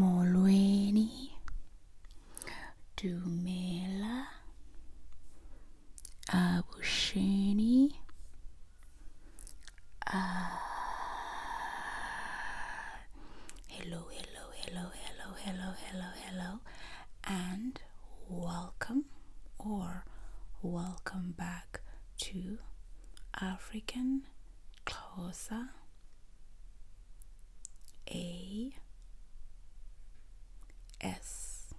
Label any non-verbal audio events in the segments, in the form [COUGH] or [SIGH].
මොළුවෙනි දුමේලා ආවුෂෙනි hello hello hello hello hello hello hello and welcome or welcome back to African Xhosa a S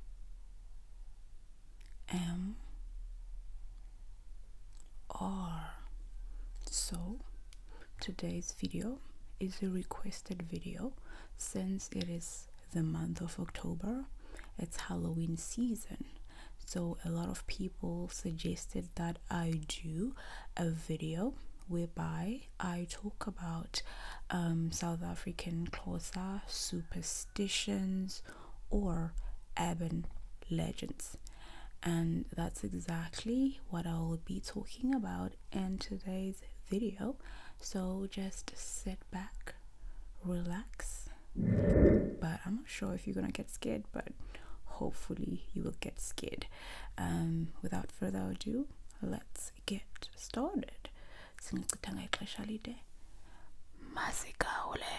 M R. So today's video is a requested video since it is the month of October, it's Halloween season so a lot of people suggested that i do a video whereby i talk about um, south african xhosa superstitions or urban legends and that's exactly what i will be talking about in today's video so just sit back relax but i'm sure if you're gonna get scared, but hopefully you will get scared. Um, without further ado, let's get started. Singikutanga ixesha lide. Masigawule.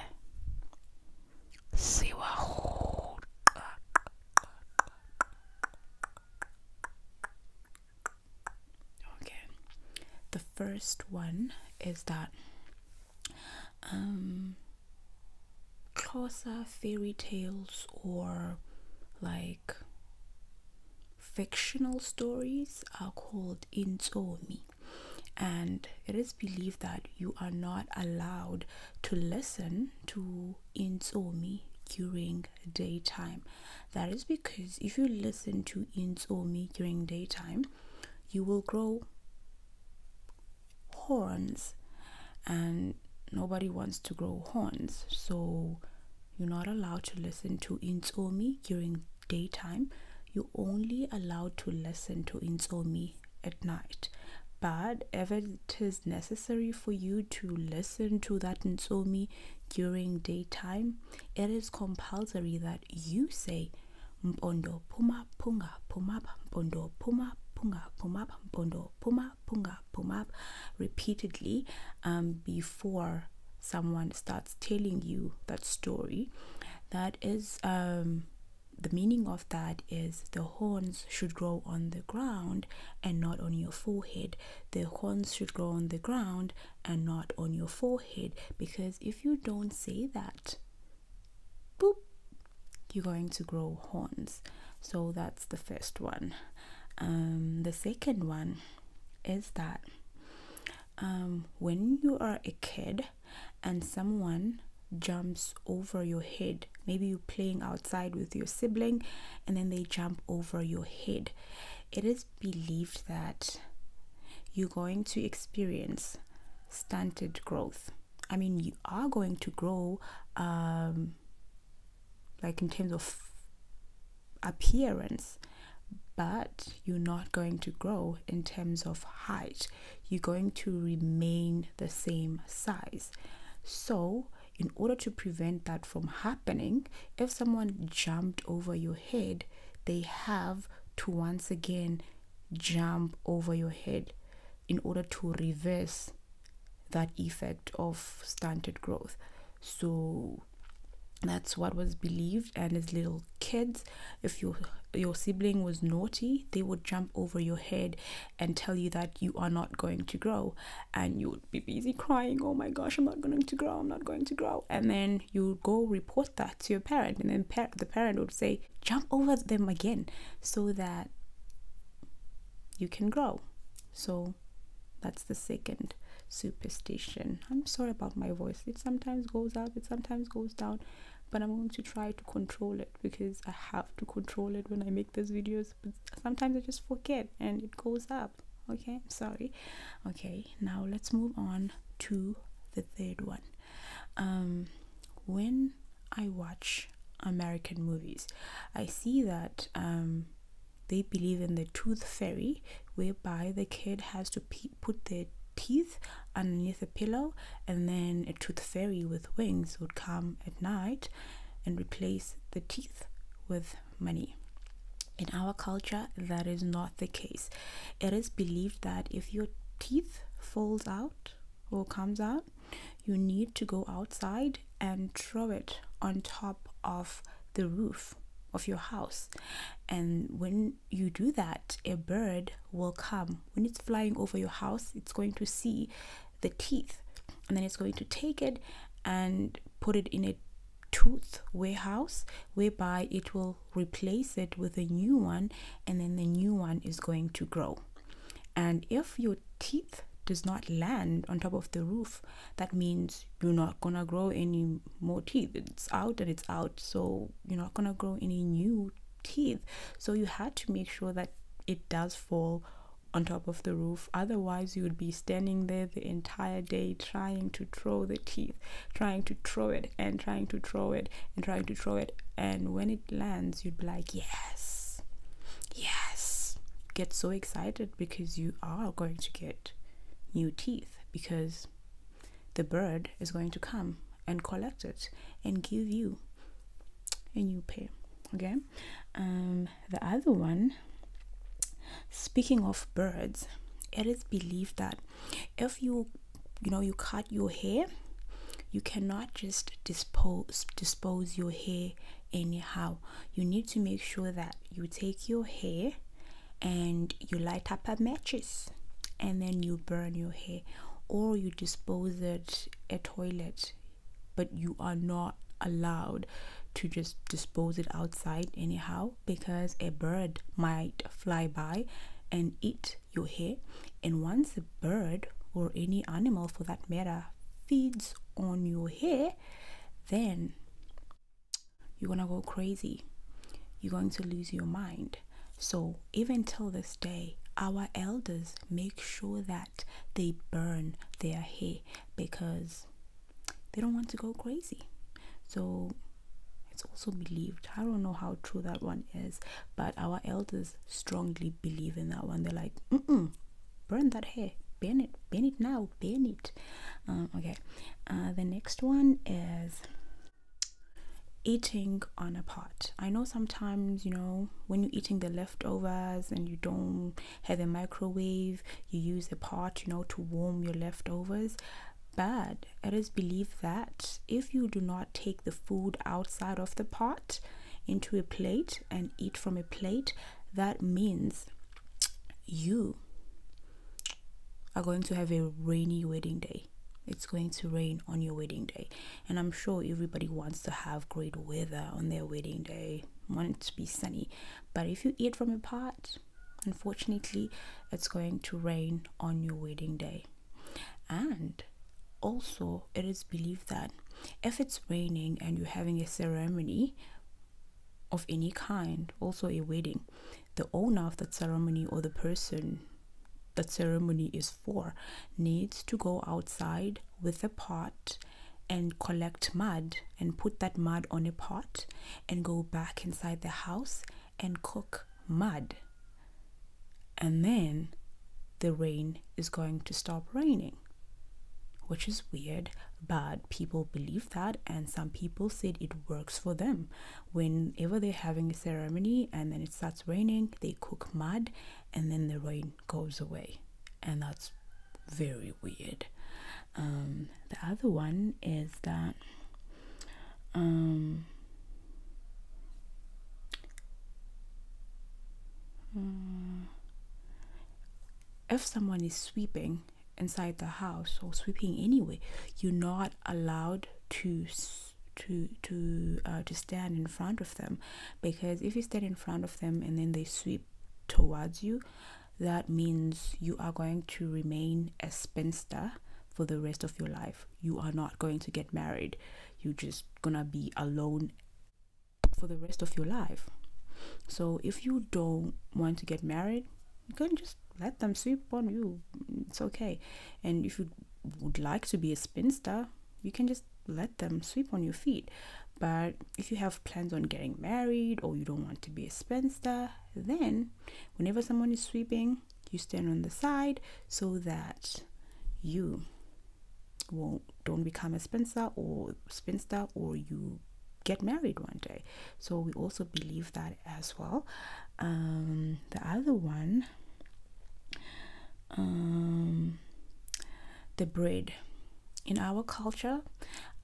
Okay. The first one is that um fairy tales or like fictional stories are called Inzomi, and it is believed that you are not allowed to listen to Inzomi during daytime that is because if you listen to Inzomi during daytime you will grow horns and nobody wants to grow horns so you're not allowed to listen to insomi during daytime you're only allowed to listen to insomi at night but if it is necessary for you to listen to that insomi during daytime it is compulsory that you say mpondo mpondo phuma phunga phuma up mpondo phuma punga phuma up mpondo phuma punga phuma up repeatedly um, before someone starts telling you that story that is um, the meaning of that is the horns should grow on the ground and not on your forehead. The horns should grow on the ground and not on your forehead because if you don't say that, boop, you're going to grow horns. So that's the first one. Um, the second one is that um, when you are a kid and someone jumps over your head, maybe you're playing outside with your sibling and then they jump over your head, it is believed that you're going to experience stunted growth. I mean, you are going to grow, um, like in terms of appearance, but you're not going to grow in terms of height. You're going to remain the same size. So, in order to prevent that from happening, if someone jumped over your head, they have to once again jump over your head in order to reverse that effect of stunted growth. So that's what was believed and as little kids if your your sibling was naughty they would jump over your head and tell you that you are not going to grow and you would be busy crying oh my gosh i'm not going to grow i'm not going to grow and then you would go report that to your parent and then the parent would say jump over them again so that you can grow. So that's the second superstition. I'm sorry about my voice. It sometimes goes up, it sometimes goes down, but I'm going to try to control it because I have to control it when I make these videos. But sometimes I just forget and it goes up. Okay, I'm sorry. Okay, now let's move on to the third one. Um, when I watch American movies, I see that um, they believe in the tooth fairy, whereby the kid has to put their teeth underneath a pillow, and then a tooth fairy with wings would come at night and replace the teeth with money. In our culture, that is not the case. It is believed that if your teeth falls out or comes out, you need to go outside and throw it on top of the roof of your house. And when you do that, a bird will come. When it's flying over your house, it's going to see the teeth and then it's going to take it and put it in a tooth warehouse whereby it will replace it with a new one and then the new one is going to grow and if your teeth does not land on top of the roof that means you're not gonna grow any more teeth it's out and it's out so you're not gonna grow any new teeth so you had to make sure that it does fall on top of the roof otherwise you would be standing there the entire day trying to throw the teeth trying to throw it and trying to throw it and trying to throw it and when it it lands, you'd be like, yes, yes. Get so excited because you are going to get new teeth because the bird is going to come and collect it and give you a new pair. Okay. Um, the other one, speaking of birds, it is believed that if you you know you cut your hair you cannot just dispose dispose your hair anyhow you need to make sure that you take your hair and you light up a matches and then you burn your hair or you dispose it a toilet but you are not allowed to just dispose it outside anyhow because a bird might fly by and eat your hair and once a bird or any animal for that matter feeds on your hair then you're gonna go crazy you're going to lose your mind so even till this day our elders make sure that they burn their hair because they don't want to go crazy so it's also believed i don't know how true that one is but our elders strongly believe in that one. They're like, burn that hair, burn it, burn it now, burn it. Um, okay, uh, the next one is eating on a pot. I know sometimes, you know, when you're eating the leftovers and you don't have a microwave, you use a pot, you know, to warm your leftovers. But it is believed that if you do not take the food outside of the pot, into a plate and eat from a plate, that means you are going to have a rainy wedding day. It's going to rain on your wedding day. And I'm sure everybody wants to have great weather on their wedding day, want it to be sunny. But if you eat from a pot, unfortunately, it's going to rain on your wedding day and also it is believed that if it's raining and you're having a ceremony of any kind also a wedding the owner of that ceremony or the person that ceremony is for needs to go outside with a pot and collect mud and put that mud on a pot and go back inside the house and cook mud and then the rain is going to stop raining which is weird but people believe that and some people said it works for them whenever they're having a ceremony and then it starts raining they cook mud and then the rain goes away and that's very weird um, the other one is that um, if someone is sweeping inside the house or sweeping anyway, you're not allowed to to to uh, to stand in front of them because if you stand in front of them and then they sweep towards you, that means you are going to remain a spinster for the rest of your life. You are not going to get married you're just gonna be alone for the rest of your life. So if you don't want to get married, you can just let them sweep on you. It's okay. And if you would like to be a spinster, you can just let them sweep on your feet. But if you have plans on getting married or you don't want to be a spinster, then whenever someone is sweeping, you stand on the side so that you won't don't become a spinster or spinster or you get married one day so we also believe that as well um, the other one um, the bread in our culture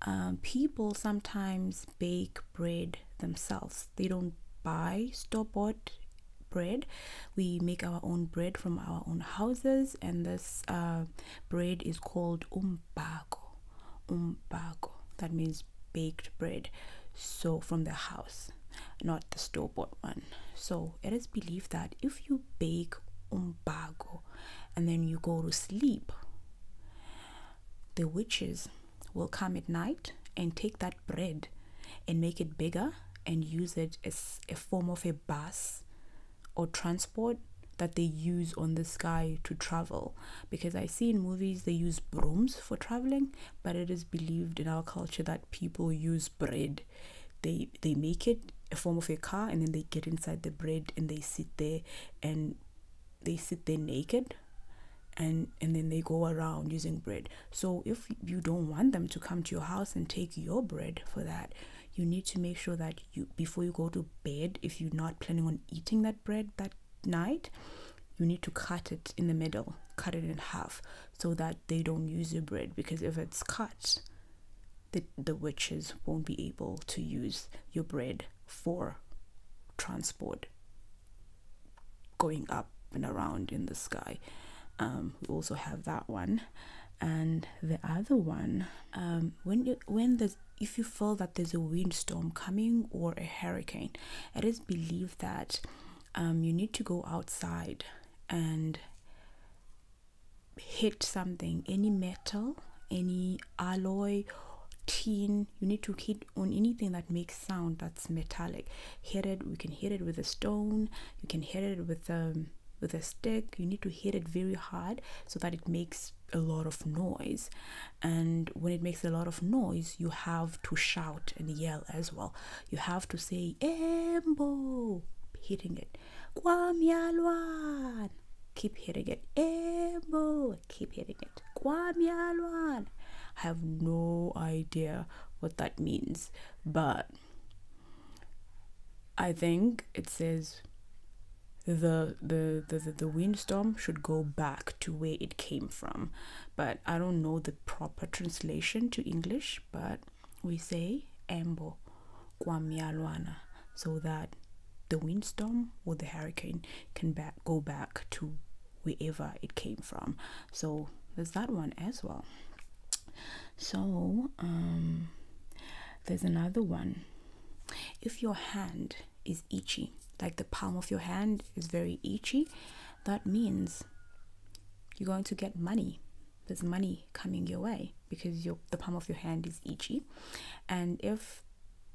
um, people sometimes bake bread themselves they don't buy store bought bread we make our own bread from our own houses and this uh, bread is called umbago umbago that means baked bread so from the house not the store bought one so it is believed that if you bake umbago and then you go to sleep the witches will come at night and take that bread and make it bigger and use it as a form of a bus or transport that they use on the sky to travel because i see in movies they use brooms for traveling but it is believed in our culture that people use bread they they make it a form of a car and then they get inside the bread and they sit there and they sit there naked and and then they go around using bread so if you don't want them to come to your house and take your bread for that, you need to make sure that you before you go to bed, if you're not planning on eating that bread that night, you need to cut it in the middle, cut it in half so that they don't use your bread because if it's cut, the, the witches won't be able to use your bread for transport going up and around in the sky. Um, we also have that one, and the other one. Um, when you when there's if you feel that there's a windstorm coming or a hurricane, it is believed that um, you need to go outside and hit something, any metal, any alloy, tin. You need to hit on anything that makes sound that's metallic hit it We can hit it with a stone you can hit it with um with a stick you need to hit it very hard so that it makes a lot of noise and when it makes a lot of noise you have to shout and yell as well you have to say embo hitting it kwamyalwan keep hitting it embo keep hitting it kwamyalwan i have no idea what that means but I think it says the, the the the windstorm should go back to where it came from but i don't know the proper translation to english but we say embo kwamyalwana so that the windstorm or the hurricane can back go back to wherever it came from so there's that one as well so um, there's another one if your hand is itchy like the palm of your hand is very itchy that means you're going to get money there's money coming your way because the palm of your hand is itchy and if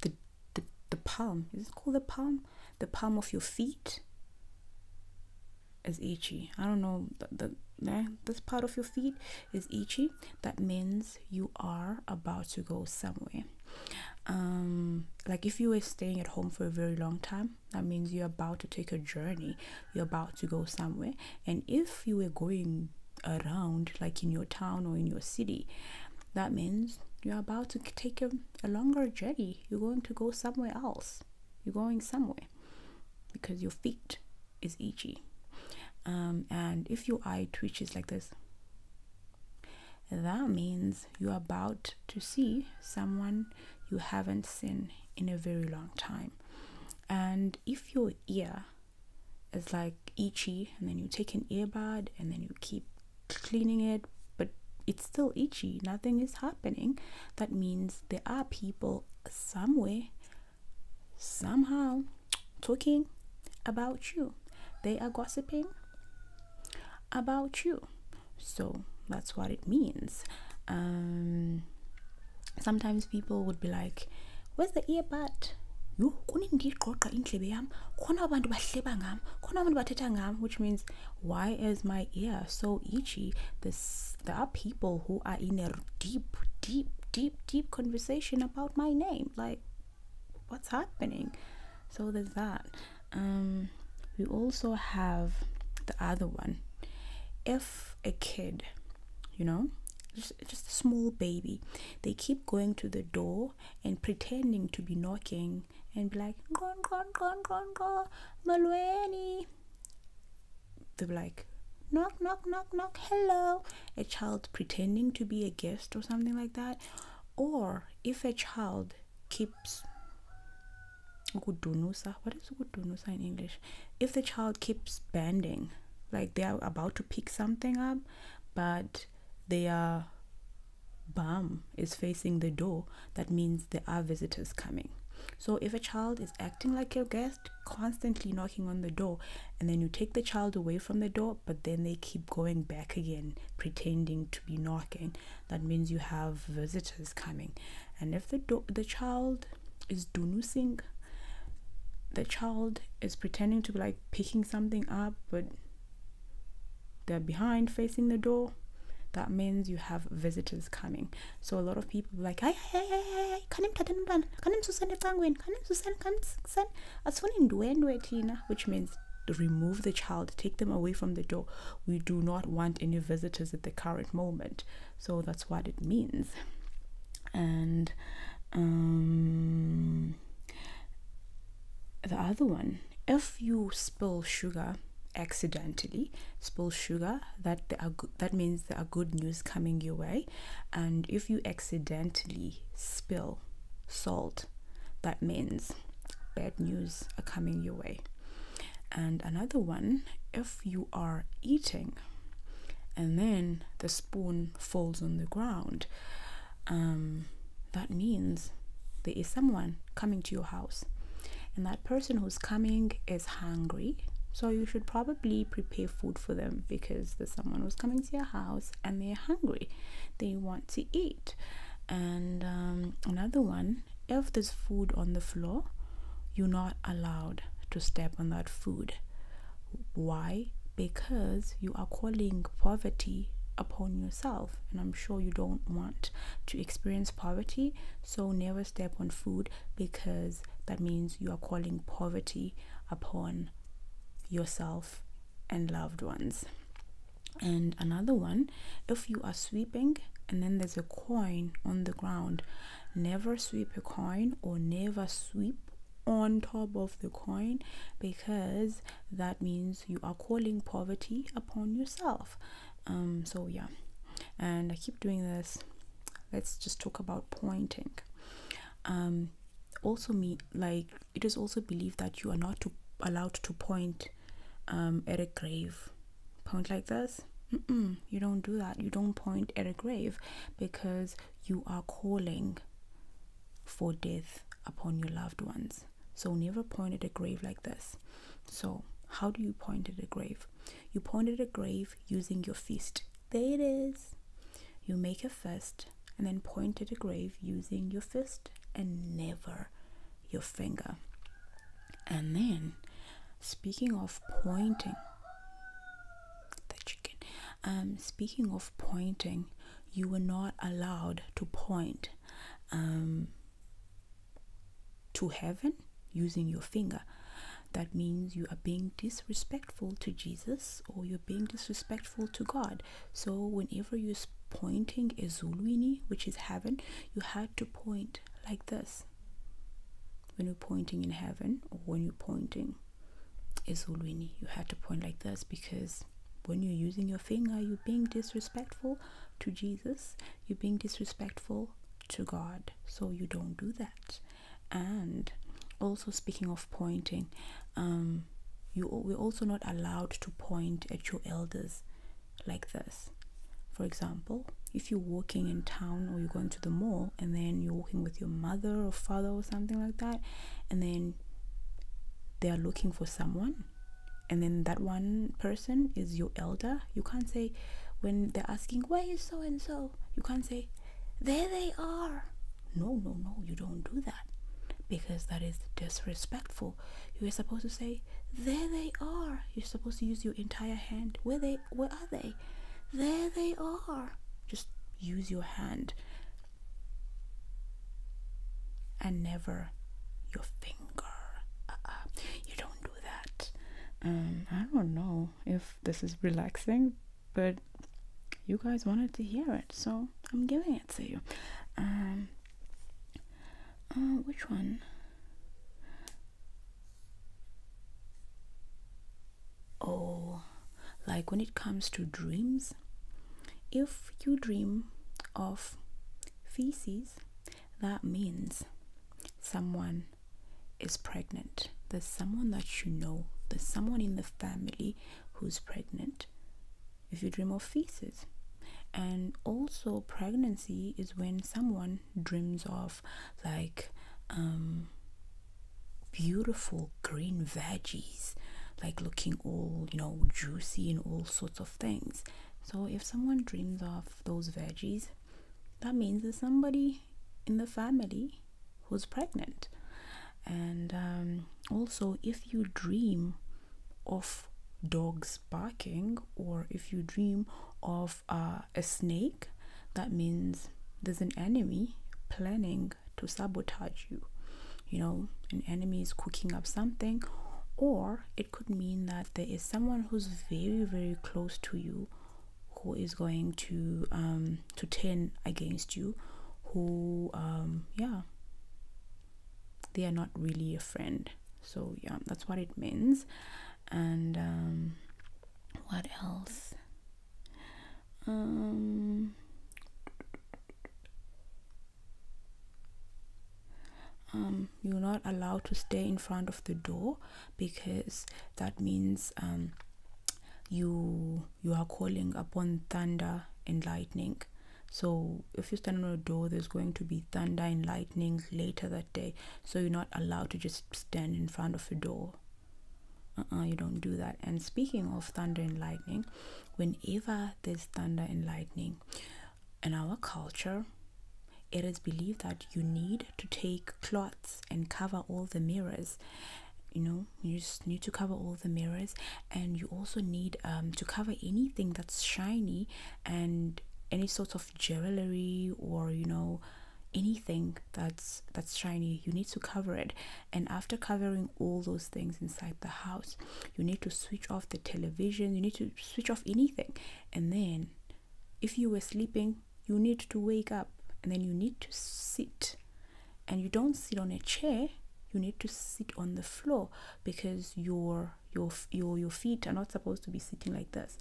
the, the palm is it called the palm the palm of your feet is itchy? I don't know the, the this part of your feet is itchy. That means you are about to go somewhere. Um, like if you were staying at home for a very long time, that means you're about to take a journey. You're about to go somewhere. And if you were going around, like in your town or in your city, that means you're about to take a, a longer journey. You're going to go somewhere else. You're going somewhere because your feet is itchy. Um, and if your eye twitches like this, that means you're about to see someone you haven't seen in a very long time. And if your ear is like itchy, and then you take an earbud and then you keep cleaning it, but it's still itchy, nothing is happening, that means there are people somewhere, somehow, talking about you. They are gossiping about you. So that's what it means. Um, sometimes people would be like, Where's the earbud? yho kunindiyiqoqa indlebe yami khona abantu bahleba ngami abantu bathetha which means why is my ear so itchy? This, there are people who are in a deep, deep, deep, deep conversation about my name. Like, what's happening? So there's that. Um, we also have the other one. If a kid, you know, just, just a small baby, they keep going to the door and pretending to be knocking and be like, gon, gon, gon, gon, gon, Malweni they'll be like, knock, knock, knock, knock, hello. A child pretending to be a guest or something like that. Or if a child keeps ukudunusa, what is ukudunusa in English? If the child keeps bending, like they are about to pick something up, but their bum is facing the door, that means there are visitors coming. So if a child is acting like your guest, constantly knocking on the door, and then you take the child away from the door, but then they keep going back again, pretending to be knocking. That means you have visitors coming. And if the the child is dunusing, the child is pretending to be like picking something up, but they're behind facing the door that means you have visitors coming. So a lot of people like, hey, hey, hey, hey, kanim tatanban, kanim susende pangwen, kanim susan, kanim susan, asfuni ndwendwe tina, which means remove the child, take them away from the door. We do not want any visitors at the current moment. So that's what it means. And um, the other one, if you spill sugar, accidentally spill sugar that are that means there are good news coming your way and if you accidentally spill salt that means bad news are coming your way and another one if you are eating and then the spoon falls on the ground um, that means there is someone coming to your house and that person who's coming is hungry so you should probably prepare food for them because there's someone who's coming to your house and they're hungry. They want to eat. And um, another one, if there's food on the floor, you're not allowed to step on that food. Why? Because you are calling poverty upon yourself and i'm sure you don't want to experience poverty so, never step on food because that means you are calling poverty upon yourself and loved ones. And another one if you are sweeping and then there's a coin on the ground, never sweep a coin or never sweep on top of the coin because that means you are calling poverty upon yourself um, so yeah and i keep doing this let's just talk about pointing um, also me like it is also believed that you are not allowed to point um, at a grave point like this you don't do that you don't point at a grave because you are calling for death upon your loved ones so never point at a grave like this so how do you point at a grave you point at a grave using your fist. There it is. You make a fist and then point at a grave using your fist and never your finger. And then, speaking of pointing, the chicken, um, speaking of pointing, you were not allowed to point. Um, to heaven using your finger. That means you are being disrespectful to Jesus or you're being disrespectful to God. So, whenever you're pointing Ezulwini, which is heaven, you had to point like this when you're pointing in heaven or when you're pointing Ezulwini. You had to point like this because when you're using your finger, you're being disrespectful to Jesus, you're being disrespectful to God so you don't do that and also speaking of pointing um you we're also not allowed to point at your elders like this for example if you're walking in town or you're going to the mall and then you're walking with your mother or father or something like that and then they are looking for someone and then that one person is your elder, you can't say when they're asking where is so and so, you can't say there they are. No, no, no, you don't do that because that is disrespectful. You are supposed to say there they are. You're supposed to use your entire hand. Where they where are they? There they are. Just use your hand and never your finger. Uh-uh. You don't do that. Um, I don't know if this is relaxing, but you guys wanted to hear it, so I'm giving it to you. Um, uh, which one? Oh, like when it comes to dreams, if you dream of feces, that means someone is pregnant. There's someone that you know, there's someone in the family who's pregnant. If you dream of feces, and also pregnancy is when someone dreams of like um, beautiful green veggies like looking all you know juicy and all sorts of things so if someone dreams of those veggies that means there's somebody in the family who's pregnant. And um, also, if you dream of dogs barking or if you dream of uh, a snake, that means there's an enemy planning to sabotage you. You know, an enemy is cooking up something, or it could mean that there is someone who's very very close to you who is going to um, to turn against you who um, yeah they are not really a friend so yeah that's what it means and um, what else um, um you're not allowed to stay in front of the door because that means um, you you are calling upon thunder and lightning so if you stand on a door there's going to be thunder and lightning later that day so you're not allowed to just stand in front of a door uh you don't do that and speaking of thunder and lightning whenever there's thunder and lightning in our culture, it is believed that you need to take cloths and cover all the mirrors. You know, you need to cover all the mirrors, and you also need um, to cover anything that's shiny and any sort of jewelry or you know anything that's that's shiny you need to cover it and after covering all those things inside the house you need to switch off the television you need to switch off anything and then if you were sleeping you need to wake up and then you need to sit and you don't sit on a chair you need to sit on the floor because your your your your feet are not supposed to be sitting like this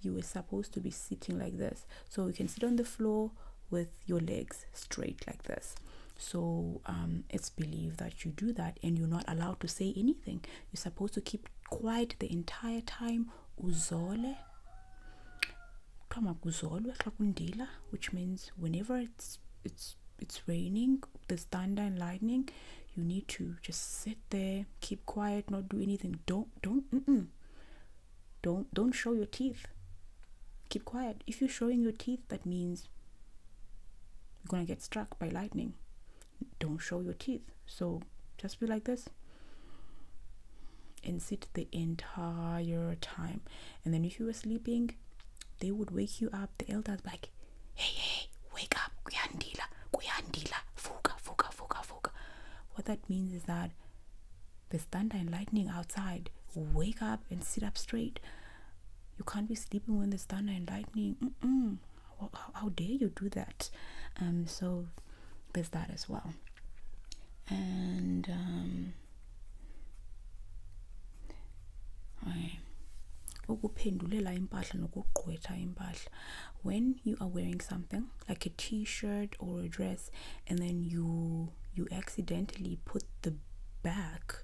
you were supposed to be sitting like this so you can sit on the floor with your legs straight like this so um, it's believed that you do that and you're not allowed to say anything you're supposed to keep quiet the entire time uzole which means whenever it's it's it's raining there's thunder and lightning you need to just sit there keep quiet not do anything don't don't mm -mm. don't don't show your teeth keep quiet if you're showing your teeth that means you're gonna get struck by lightning don't show your teeth so just be like this and sit the entire time and then if you were sleeping they would wake you up the elders like hey hey wake up kuyandila kuyandila fuka fuka fuka fuka what that means is that there's thunder and lightning outside wake up and sit up straight you can't be sleeping when there's thunder and lightning how, dare you do that um so there's that as well and um ukuphendulela impahla nokugqwetha impahla when you are wearing something like a t-shirt or a dress and then you you accidentally put the back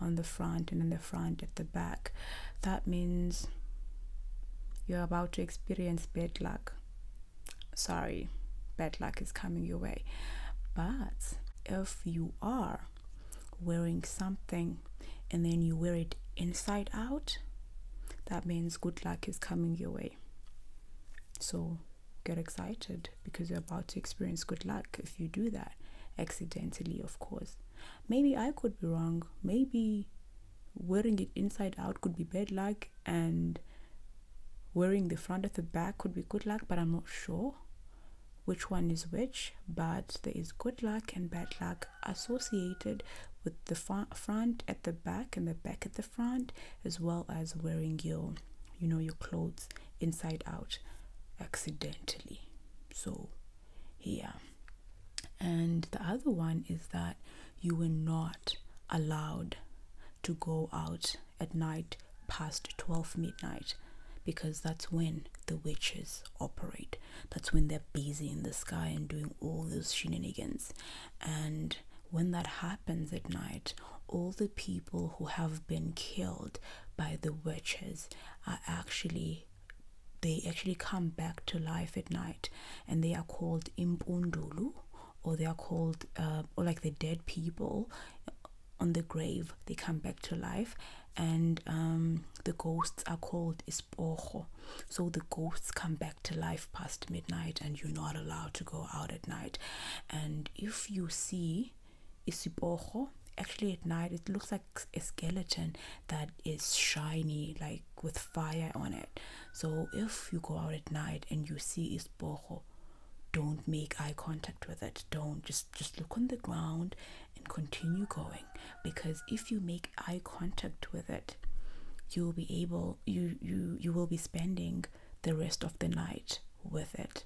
on the front and then the front at the back that means you're about to experience bad luck. Sorry, bad luck is coming your way. But if you are wearing something and then you wear it inside out, that means good luck is coming your way. So get excited because you're about to experience good luck if you do that accidentally, of course. Maybe I could be wrong. Maybe wearing it inside out could be bad luck and wearing the front at the back could be good luck but i'm not sure which one is which but there is good luck and bad luck associated with the front at the back and the back at the front as well as wearing your you know your clothes inside out accidentally so here. And the other one is that you were not allowed to go out at night past 12 midnight because that's when the witches operate. That's when they're busy in the sky and doing all those shenanigans. And when that happens at night, all the people who have been killed by the witches are actually they actually come back to life at night and they are called impundulu or they are called uh, or like the dead people on the grave they come back to life and um, the ghosts are called isporho so the ghosts come back to life past midnight and you're not allowed to go out at night and if you see isiporho actually at night it looks like a skeleton that is shiny like with fire on it so if you go out at night and you see this isboho don't make eye contact with it don't just just look on the ground and continue going because if you make eye contact with it you'll be able you you you will be spending the rest of the night with it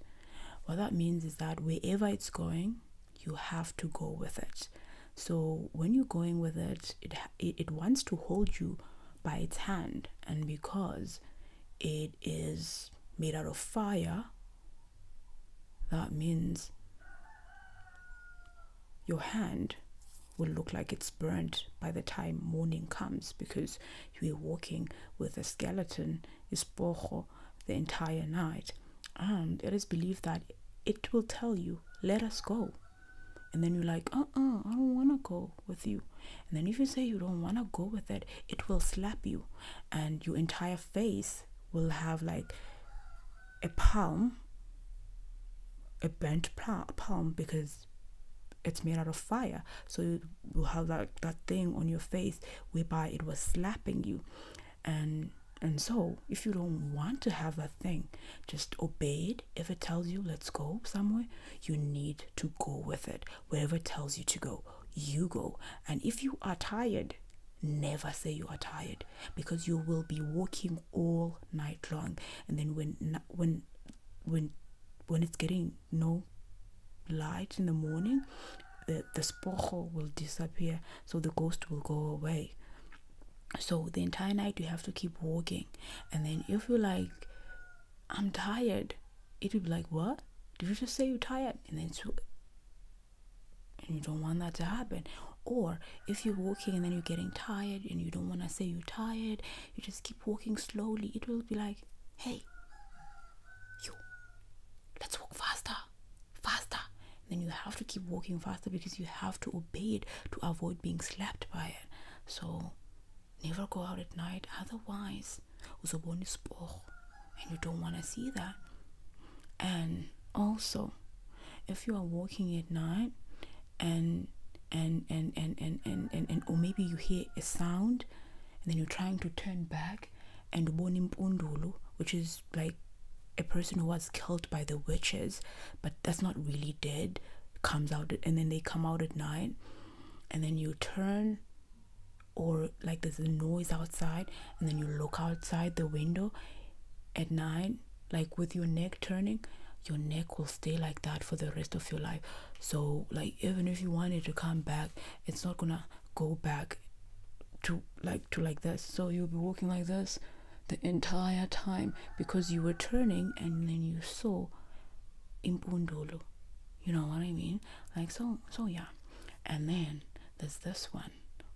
what that means is that wherever it's going you have to go with it so when you're going with it it it wants to hold you by its hand and because it is made out of fire that means your hand will look like it's burnt by the time morning comes because you are walking with a skeleton, ispocho, the entire night and it is believed that it will tell you, let us go. And then you're like, uh uh, I don't want to go with you. And then if you say you don't want to go with it, it will slap you. And your entire face will have like a palm, a burnt palm because it's made out of fire. So you will have that, that thing on your face whereby it was slapping you and and so if you don't want to have that thing just obey it if it tells you let's go somewhere you need to go with it wherever it tells you to go you go and if you are tired never say you are tired because you will be walking all night long and then when when when when it's getting no light in the morning the, the spocho will disappear so the ghost will go away so the entire night you have to keep walking and then if you're like i'm tired it would be like what did you just say you're tired and then you don't want that to happen or if you're walking and then you're getting tired and you don't want to say you're tired you just keep walking slowly it will be like hey you let's walk faster faster then you have to keep walking faster because you have to obey it to avoid being slapped by it. So never go out at night, otherwise uzobona isiporho and you don't want to see that. And also, if you are walking at night and and and and and and, and, and or maybe you hear a sound and then you're trying to turn back and ubona impundulu which is like a person who was killed by the witches, but that's not really dead, comes out and then they come out at night, and then you turn or like there's a noise outside, and then you look outside the window at night, like with your neck turning, your neck will stay like that for the rest of your life. So, like, even if you wanted to come back, it's not gonna go back to like to like this. So, you'll be walking like this the entire time because you were turning and then you saw Impundulu. You know what I mean? Like so so yeah. And then there's this one,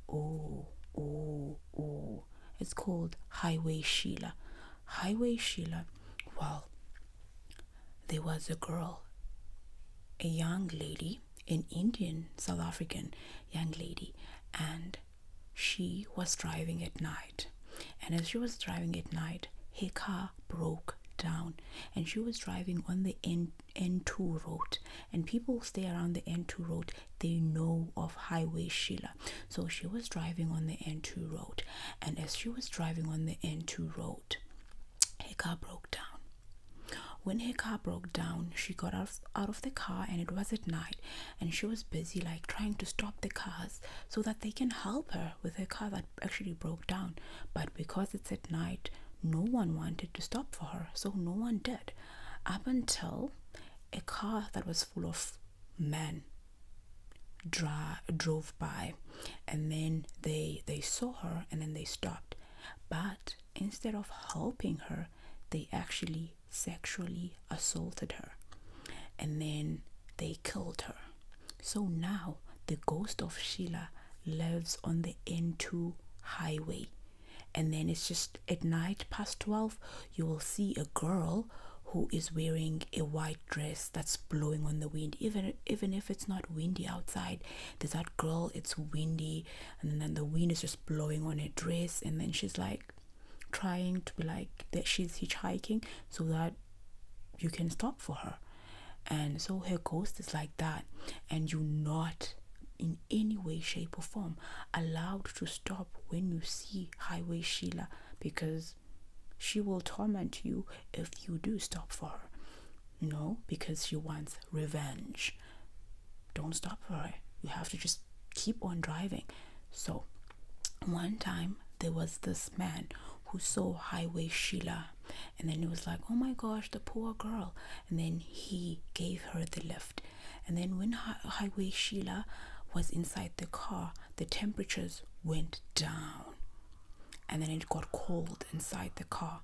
oh, oh, oh, it's called Highway Sheila. Highway Sheila well there was a girl, a young lady, an Indian South African young lady and she was driving at night and as she was driving at night her car broke down and she was driving on the N N2 road and people stay around the N2 road they know of highway Sheila so she was driving on the N2 road and as she was driving on the N2 road her car broke down when her car broke down she got out out of the car and it was at night and she was busy like trying to stop the cars so that they can help her with her car that actually broke down but because it's at night no one wanted to stop for her so no one did up until a car that was full of men drove by and then they they saw her and then they stopped but instead of helping her they actually sexually assaulted her and then they killed her. So now the ghost of Sheila lives on the N2 highway. And then it's just at night past 12, you will see a girl who is wearing a white dress that's blowing on the wind even even if it's not windy outside there's that girl it's windy and then the wind is just blowing on her dress and then she's like trying to be like that she's hitchhiking so that you can stop for her and so her ghost is like that and you're not in any way shape or form allowed to stop when you see highway sheila because she will torment you if you do stop for her no, because she wants revenge don't stop for it. You have to just keep on driving. So, one time there was this man who saw Highway Sheila, and then he was like, Oh my gosh, the poor girl. And then he gave her the lift. And then, when Highway Sheila was inside the car, the temperatures went down, and then it got cold inside the car.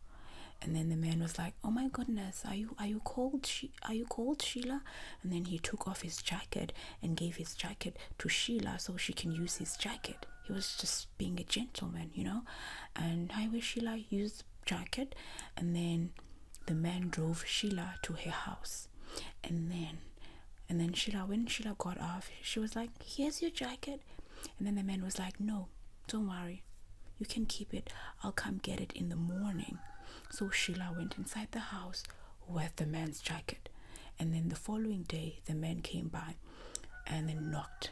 And then the man was like, "Oh my goodness, are you are you cold? She, are you cold, Sheila?" and then he took off his jacket and gave his jacket to Sheila so she can use his jacket. He was just being a gentleman, you know. And I wish Sheila used jacket, and then the man drove Sheila to her house, and then, and then Sheila when Sheila got off, she was like, "Here's your jacket," and then the man was like, "No, don't worry, you can keep it. I'll come get it in the morning." So Sheila went inside the house with the man's jacket. And then the following day, the man came by and then knocked.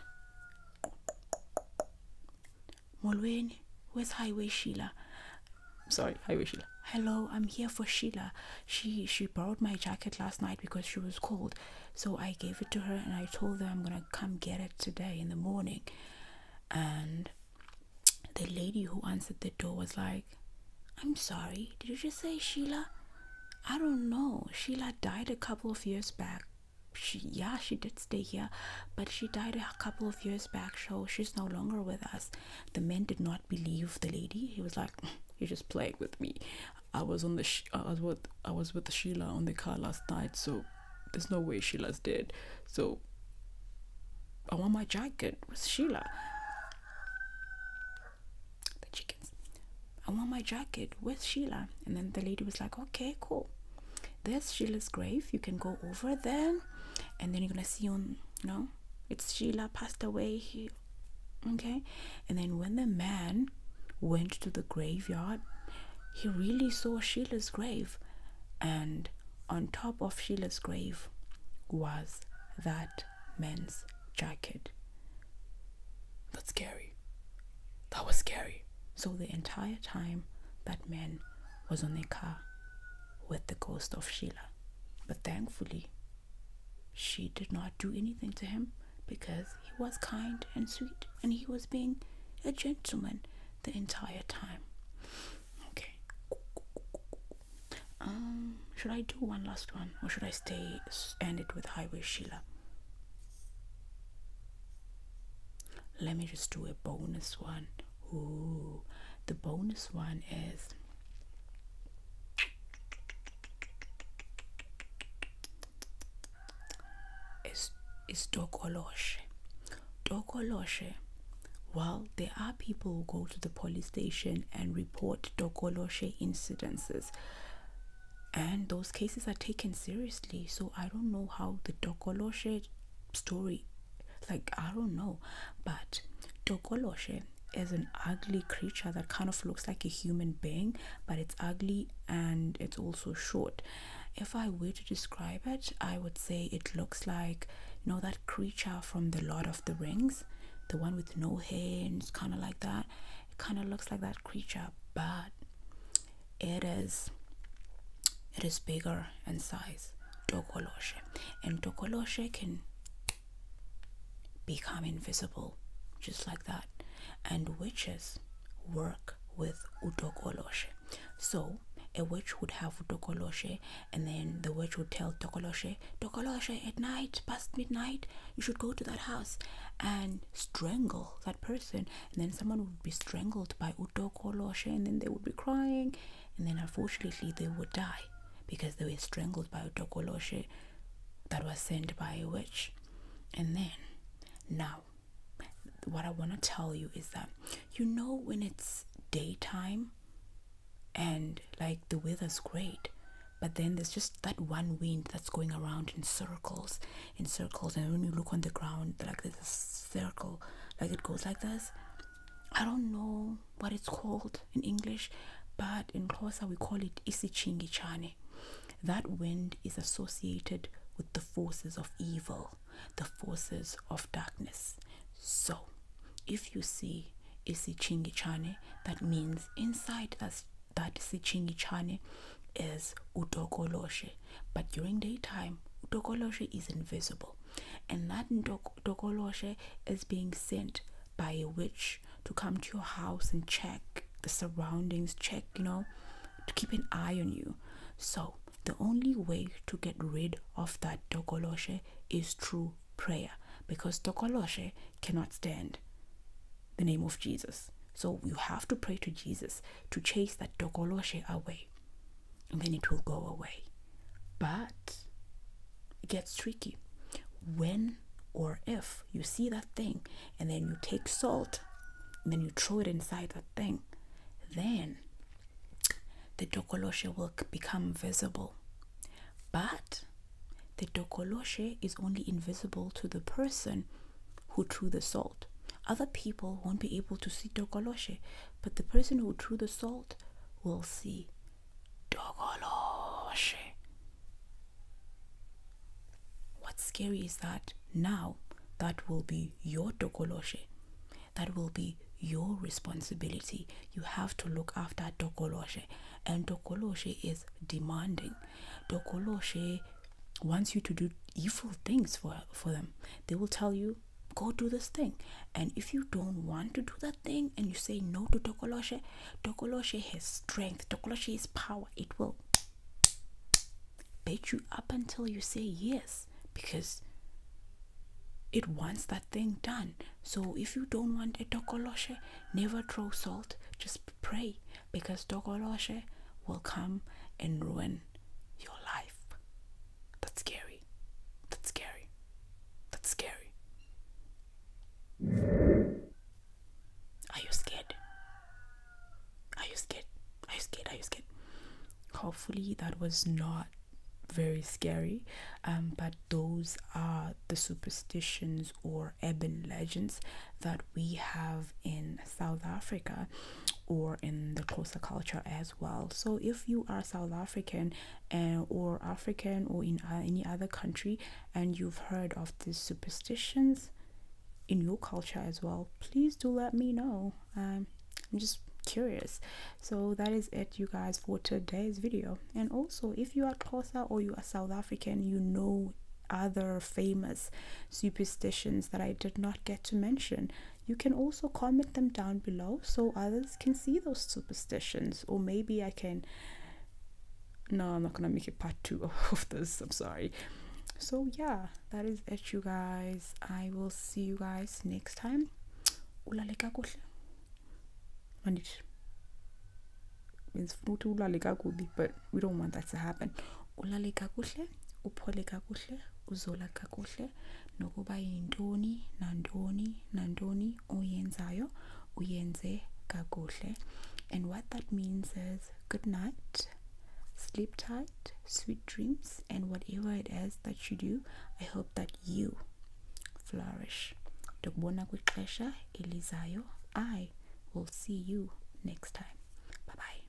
Molweni, where's Highway Sheila? Sorry, Highway Sheila. Hello, I'm here for Sheila. She she borrowed my jacket last night because she was cold. So I gave it to her and I told her I'm gonna come get it today in the morning. And the lady who answered the door was like, I'm sorry, did you just say Sheila? I don't know. Sheila died a couple of years back. She, yeah, she did stay here, but she died a couple of years back, so she's no longer with us. The man did not believe the lady. He was like, [LAUGHS] "You're just playing with me. I was on the I was with I was with Sheila on the car last night, so there's no way Sheila's dead. So I want my jacket with Sheila. The chickens. I want my jacket with Sheila. And then the lady was like, okay, cool. This Sheila's grave. You can go over there. And then you're going to see on, no, it's Sheila passed away here. Okay. And then when the man went to the graveyard, he really saw Sheila's grave. And on top of Sheila's grave was that man's jacket. That's scary. That was scary. So the entire time, that man was on a car with the ghost of Sheila. But thankfully, she did not do anything to him because he was kind and sweet and he was being a gentleman the entire time. Okay. Um, should I do one last one, or should I stay end it with Highway Sheila? Let me just do a bonus one. Ooh, the bonus one is. Is is Dokoloshe. Dokoloshe. Well, there are people who go to the police station and report dokoloshe incidences, and those cases are taken seriously. So I don't know how the dokoloshe story, like I don't know, but dokoloshe is an ugly creature that kind of looks like a human being, but it's ugly and it's also short. If I were to describe it, I would say it looks like you know that creature from the Lord of the Rings, the one with no hands, kind of like that. It kind of looks like that creature, but it is it is bigger in size. Tokoloshe, and Tokoloshe can become invisible just like that. And witches work with utokoloshe. So a witch would have utokoloshe and then the witch would tell Tokoloshe, Tokoloshe, at night, past midnight, you should go to that house and strangle that person. And then someone would be strangled by Utokoloshe, and then they would be crying, and then unfortunately they would die because they were strangled by Utokoloshe that was sent by a witch. And then, now, what I want to tell you is that you know when it's daytime and like the weather's great but then there's just that one wind that's going around in circles in circles and when you look on the ground like there's a circle like it goes like this i don't know what it's called in english but in Xhosa we call it isichingicane that wind is associated with the forces of evil the forces of darkness. So, if you see isichingicane, that means inside us that isichingicane is udokoloshe, but during daytime, udokoloshe is invisible, and that udokoloshe is being sent by a witch to come to your house and check the surroundings, check you know, to keep an eye on you. So, the only way to get rid of that Dokoloshe is through prayer because Dokoloshe cannot stand the name of Jesus. So you have to pray to Jesus to chase that Dokoloshe away and then it will go away. But it gets tricky when or if you see that thing and then you take salt and then you throw it inside that thing, then the dokoloshe will become visible. But the dokoloshe is only invisible to the person who threw the salt. Other people won't be able to see dokoloshe, but the person who threw the salt will see dokoloshe. What's scary is that now that will be be your dokoloshe. That will be your responsibility. You have to look after dokoloshe. And dokoloshe is demanding. Dokoloshe wants you to do evil things for, for them. They will tell you, go do this thing. And if you don't want to do that thing and you say no to dokoloshe, dokoloshe has strength. Dokoloshe has power. It will bait you up until you say yes because it wants that thing done. So if you don't want a dogoloshe, never throw salt. Just pray because dogoloshe will come and ruin your life. That's scary. That's scary. That's scary. Are you scared? Are you scared? Are you scared? Are you scared? hopefully that was not very scary um, but those are the superstitions or urban legends that we have in south africa or in the closer culture as well so if you are south african and, eh, or african or in uh, any other country and you've heard of these superstitions in your culture as well please do let me know um, i'm just curious so that is it you guys for today's video and also if you are Xhosa or you are south african you know other famous superstitions that i did not get to mention you can also comment them down below so others can see those superstitions or maybe i can no i'm not gonna make a part two [LAUGHS] of this i'm sorry so yeah that is it you guys i will see you guys next time ulale kakuhle manish. means funa ukuthi ulale kakubi but we don't want that to happen ulale kakuhle uphole kakuhle uzola kakuhle nokuba yintoni nandoni, nandoni, oyenzayo uyenze kakuhle and what that means is good night sleep tight sweet dreams, and whatever it is that you do, I hope that you flourish. Dokubona kwixesha elizayo. I will see you next time. Bye bye.